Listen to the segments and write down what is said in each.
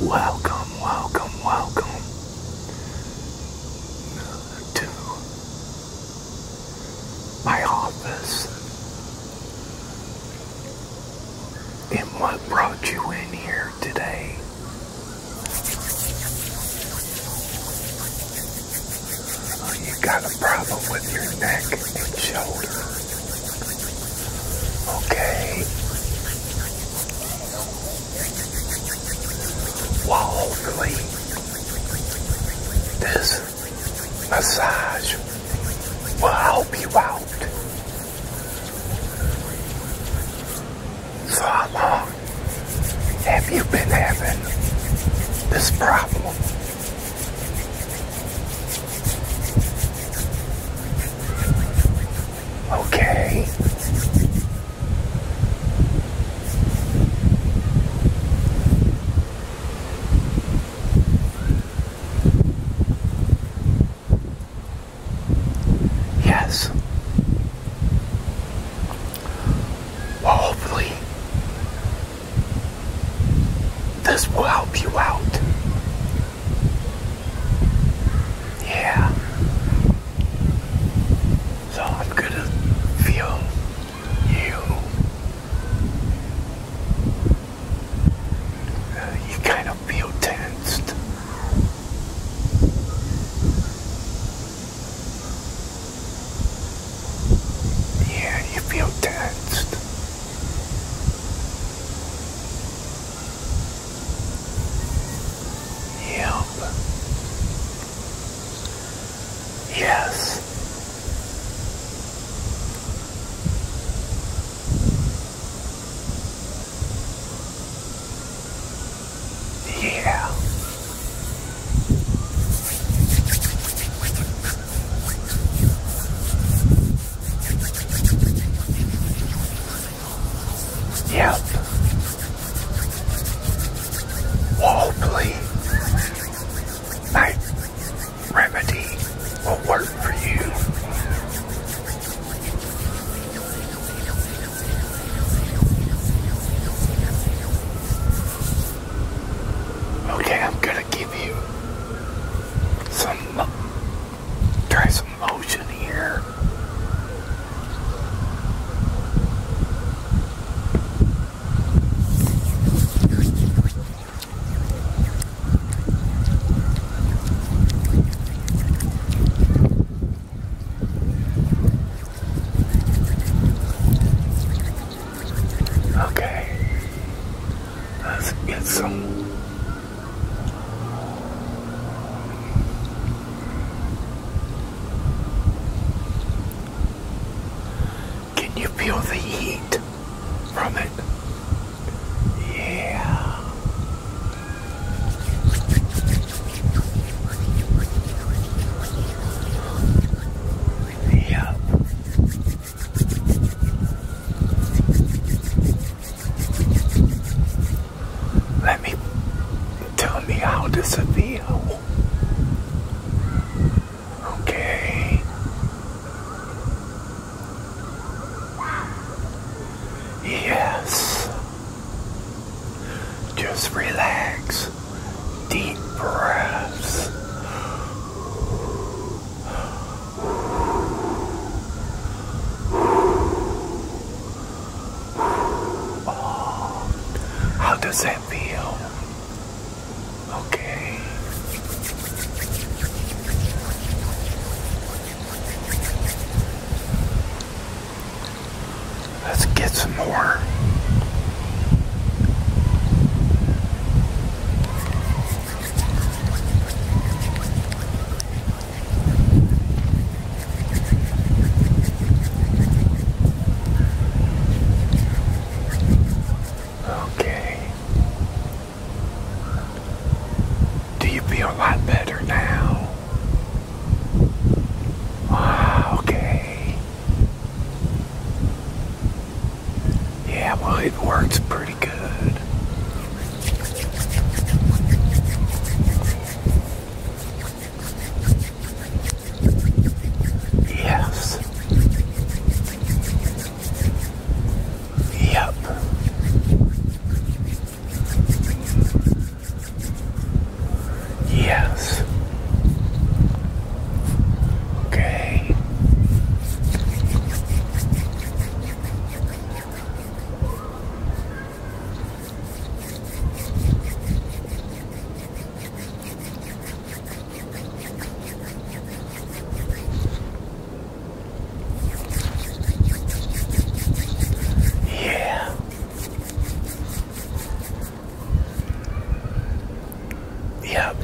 Welcome, welcome, welcome to my office. And what brought you in here today? Oh, you got a problem with your neck and your shoulder. Okay. hopefully, this massage will help you out. So, how long have you been having this problem? Okay. Yes. Well, hopefully, this will help you out. Yeah. So I'm gonna feel you. Uh, you kind of feel tensed. Yeah, you feel tensed. Yep. Yes. Yeah. Yep. Waldley. My remedy will work for you. Okay, I'm gonna give you some Try some motion here. Okay, let's get some can you feel the heat from it? Yeah. Yep. Let me tell me how this would Okay. Yes. Just relax. Deep breaths how does that feel? Okay. Let's get some more. Okay. Do you feel a lot better now? Ah, okay. Yeah, well, it works pretty pretty good. Yes. Yep. Yes. Okay. Yeah. Yep.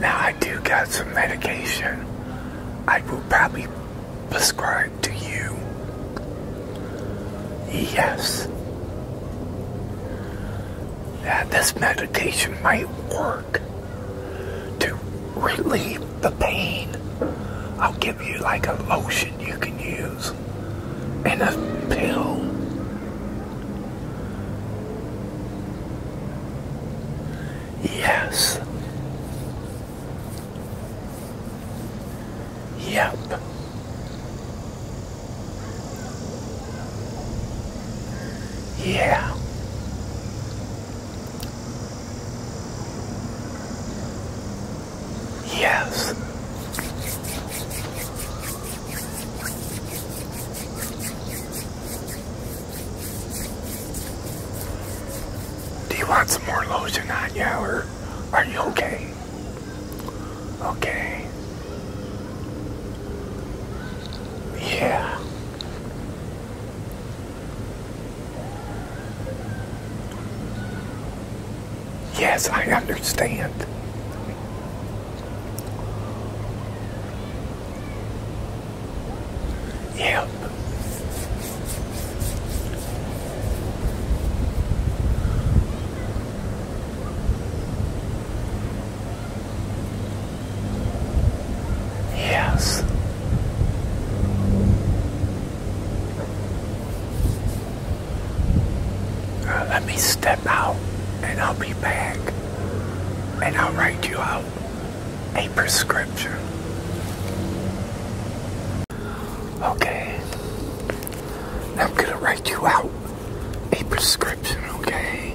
Now I do got some medication I will probably prescribe to you. Yes. that this medication might work to relieve the pain. I'll give you like a lotion you can use and a pill Yes. Yep. Yeah. Yes. Do you want some more lotion on you, or are you okay? Okay. Yeah. Yes, I understand. Yep. Yes. Uh, let me step out and I'll be back and I'll write you out a prescription. Okay. I'm gonna write you out a prescription, okay?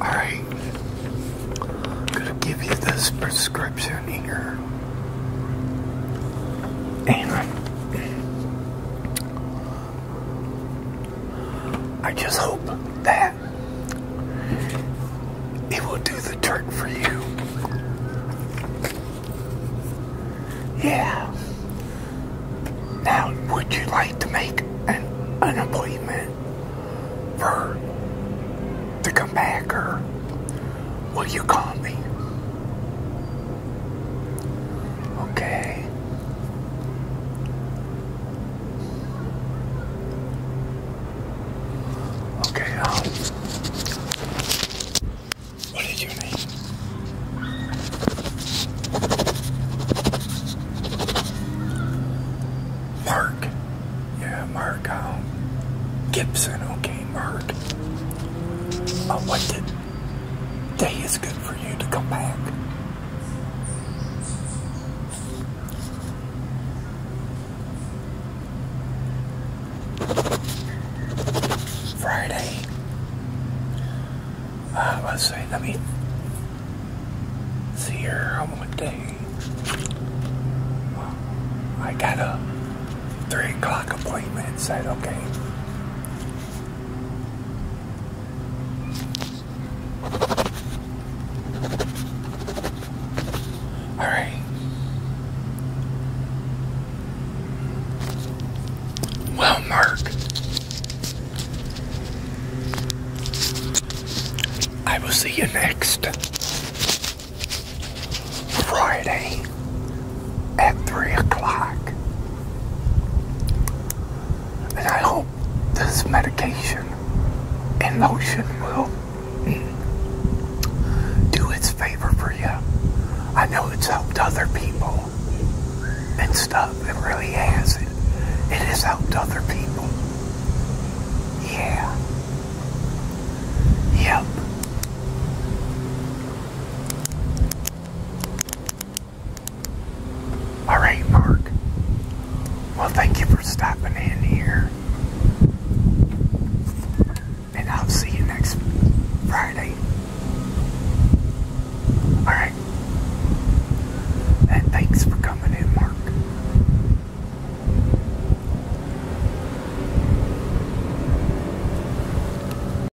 Alright, I'm gonna give you this prescription here. And I just hope that it will do the trick for you. Yeah. Now, would you like to make an, appointment for to come back, will you call Okay. Okay, um, what did Mark. Yeah, Mark um, Gibson. Okay, Mark. Uh, what day is good for you to come back. Friday. Uh, let's see, let me see here what day. I got a 3 o'clock appointment, said okay. All right. Well, Mark, I will see you next Friday at 3 o'clock. And I hope this medication and lotion will do its favor for you. I know it's helped other people and stuff. It really has. It, it has helped other people. Yeah. Yep. All right, Mark. Well, thank you for stopping in here. And I'll see you next Friday. All right. And thanks for coming in, Mark.